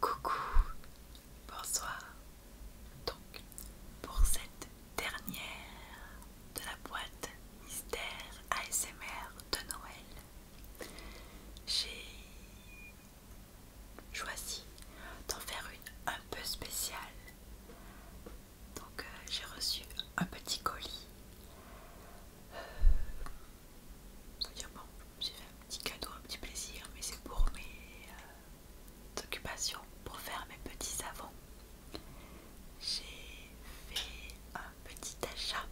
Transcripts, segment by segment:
Coucou, bonsoir. Donc, pour cette dernière de la boîte mystère ASMR de Noël, j'ai choisi d'en faire une un peu spéciale. Donc euh, j'ai reçu un petit colis. Euh, bon, j'ai fait un petit cadeau, un petit plaisir, mais c'est pour mes euh, occupations, pour faire mes petits savons. J'ai fait un petit achat,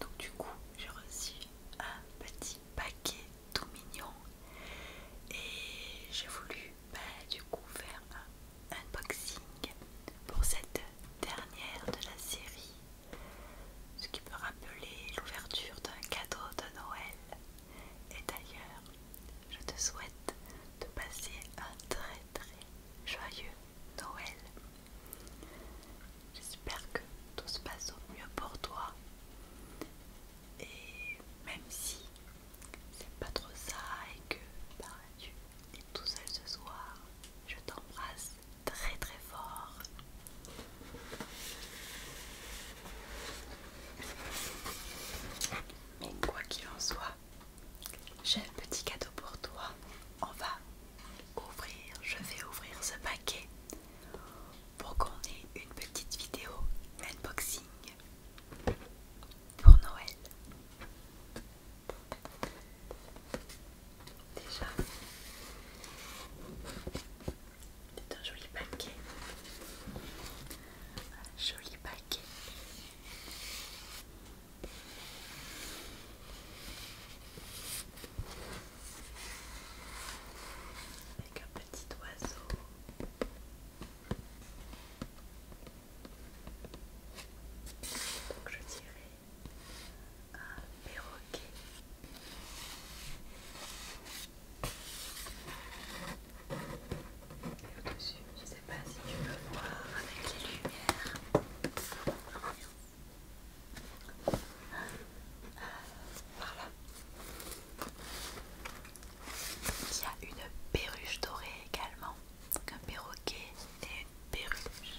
donc du coup j'ai reçu un petit paquet tout mignon et j'ai voulu bah, du coup faire un unboxing pour cette dernière de la série ce qui peut rappeler l'ouverture d'un cadeau de Noël et d'ailleurs je te souhaite de passer un très très joyeux Noël J'espère que tout se passe au mieux pour toi et même si c'est pas trop ça et que bah, tu es tout seul ce soir, je t'embrasse très très fort. Mais quoi qu'il en soit, j'ai un petit cadeau pour toi. On va ouvrir, je vais ouvrir ce paquet pour qu'on ait une petite vidéo unboxing pour Noël. Déjà, c'est un joli paquet. Un joli paquet avec un petit oiseau. Donc je dirais un perroquet. Et au-dessus, je ne sais pas si tu veux voir avec les lumières. Ah, par Il y a une perruche dorée également, donc un perroquet et une perruche.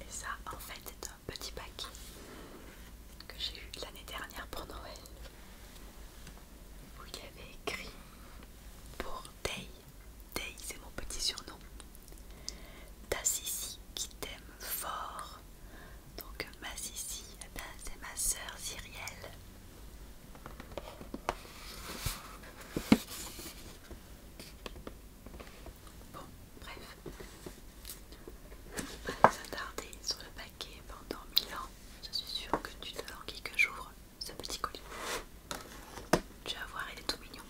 Et ça, en fait, c'est un petit paquet que j'ai eu l'année dernière pour Noël Vous il écrit pour Day. Day, c'est mon petit surnom. T'as Sissi qui t'aime fort. Donc ma Sissi, eh ben, c'est ma sœur Cyrielle. Bon, bref. Je ne vais pas s'attarder sur le paquet pendant mille ans. Je suis sûre que tu te languis que j'ouvre ce petit colis. Tu vas voir, il est tout mignon.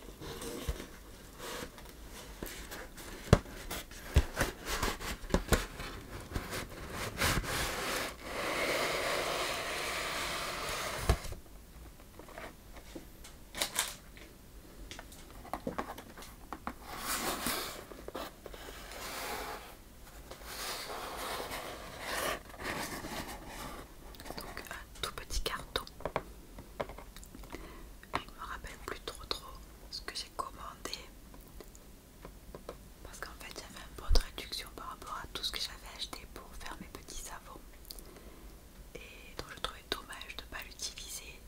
Donc un tout petit carton je me rappelle plus trop trop ce que j'ai commandé parce qu'en fait j'avais un peu de réduction par rapport à tout ce que j'avais acheté pour faire mes petits savons et donc je trouvais dommage de ne pas l'utiliser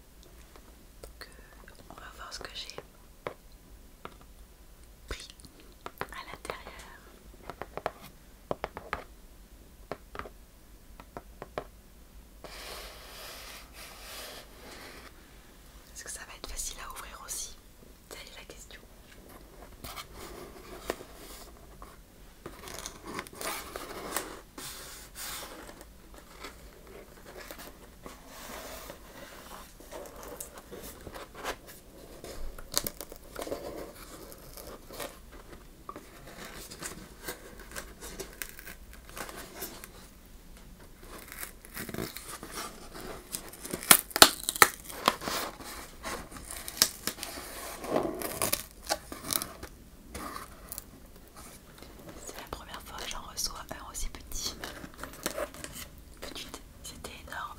donc euh, on va voir ce que j'ai pris à l'intérieur est-ce que ça va être facile à ouvrir aussi Telle est la question. C'est la première fois que j'en reçois un aussi petit. c'était énorme.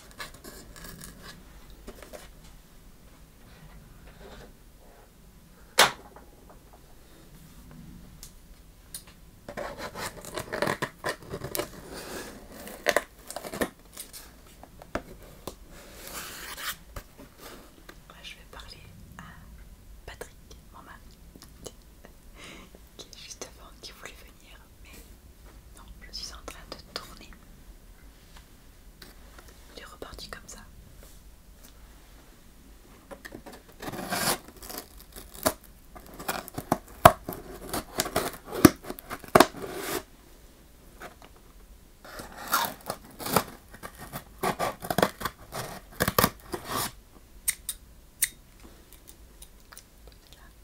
je vais parler à Patrick, mon mari, qui est juste avant, qui voulait venir non, je suis en train de tourner. Il est reparti comme ça.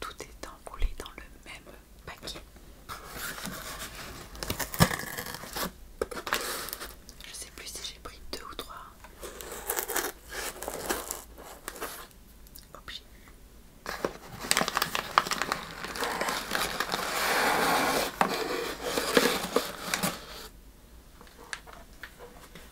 tout est enroulé dans le même paquet. Je sais plus si j'ai pris deux ou trois.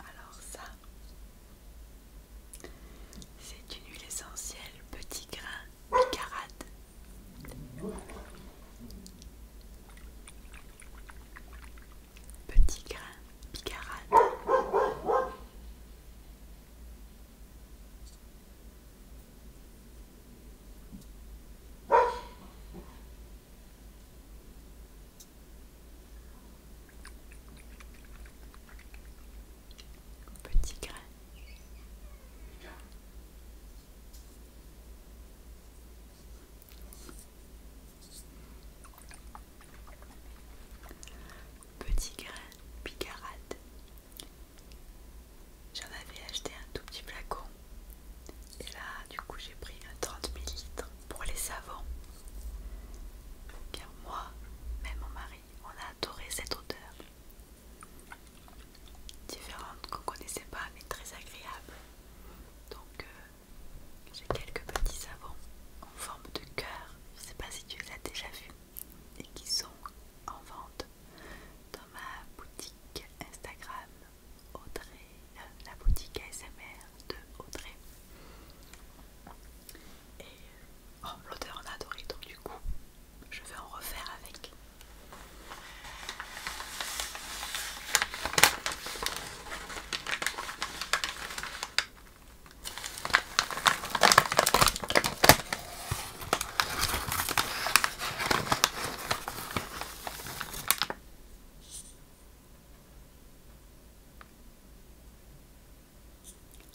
Alors ça, c'est une huile essentielle petit grain picarade. Petit grain picarade petit grain. Petit grain picarade. J'en avais acheté un tout petit flacon. Et là, du coup, j'ai pris un 30 ml pour les savons. Car moi, même mon mari on a adoré cette odeur. Différente qu'on connaissait pas mais très agréable. Donc euh, j'ai quelques petits savons en forme de cœur. Je sais pas si tu les as déjà vus et qui sont en vente dans ma boutique Instagram Audrey, euh, la boutique ASMR de Audrey. Et euh, Oh, l'odeur en a donc du coup, je vais en refaire avec.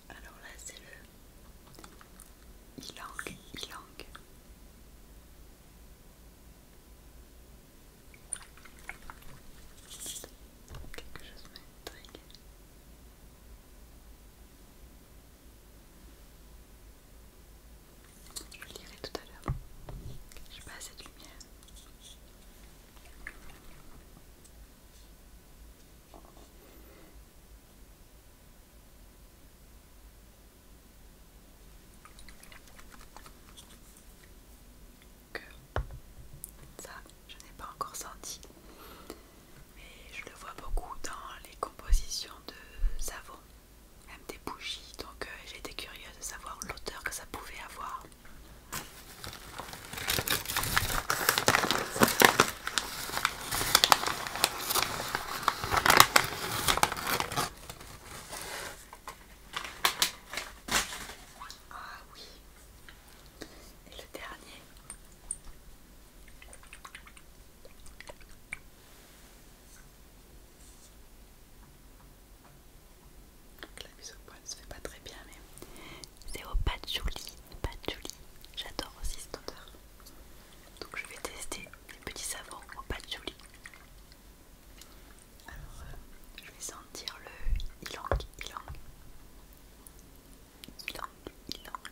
Alors là, c'est le ilang, ilang. Quelque chose m'intrigue. Je le dirai tout à l'heure. J'ai pas assez de lumière que ça je n'ai pas encore senti mais je le vois beaucoup dans les compositions de savon même des bougies donc euh, j'étais curieuse de savoir l'auteur que ça pouvait avoir ah oui. Et le dernier. la mise au ne se fait pas très bien mais c'est au patchouli, patchouli. J'adore aussi cette odeur. Donc je vais tester les petits savons au patchouli. Alors euh, je vais sentir le ylang ylang. Ylang ylang.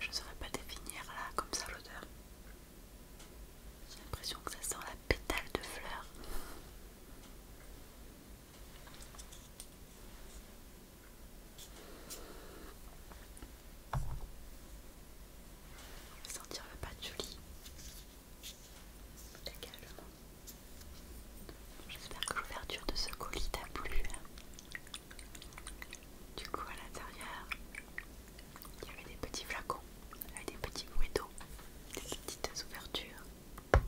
Je ne saurais pas définir là comme ça l'odeur. J'ai l'impression que ça sent la pétale de fleurs. On va sentir le patchouli également. J'espère que l'ouverture de ce colis t'a plu. Hein. Du coup, à l'intérieur, il y avait des petits flacons avec des petits bruits d'eau, des petites ouvertures. Oh,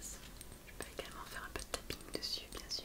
je peux également faire un peu de tapping dessus, bien sûr.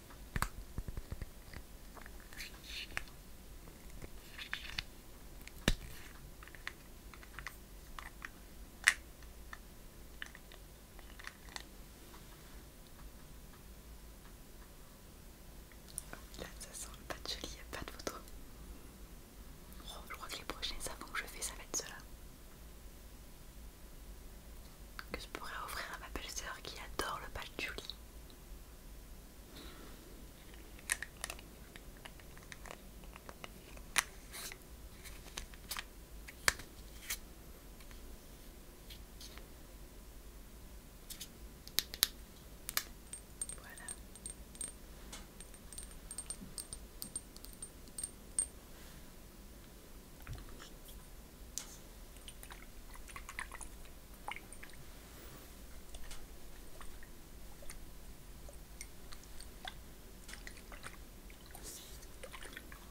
Là, ça sent le pas de joli, il n'y a pas de photo. Oh, je crois que les prochains savons que je fais, ça va être cela que je pourrais offrir à ma belle-sœur qui adore le patchouli. Voilà.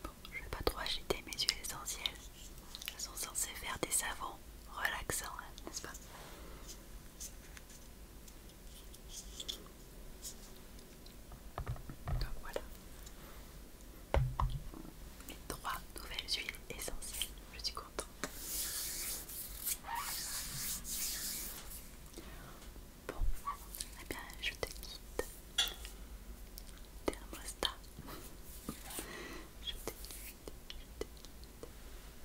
Bon, je vais pas trop agiter mes huiles essentielles. Elles sont censées faire des savons relaxants, hein, n'est-ce pas donc voilà mes trois nouvelles huiles essentielles. Je suis contente. Bon, eh bien, je te quitte. Thermostat. Je te quitte, je te quitte.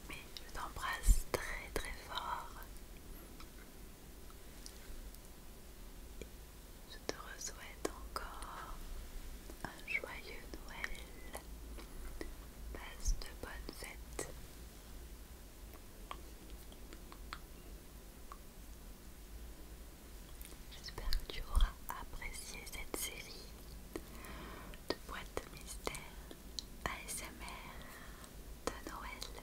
Mais je t'embrasse très très fort. Je te souhaite encore un joyeux Noël. Passe de bonnes fêtes. J'espère que tu auras apprécié cette série de boîtes mystères ASMR de Noël.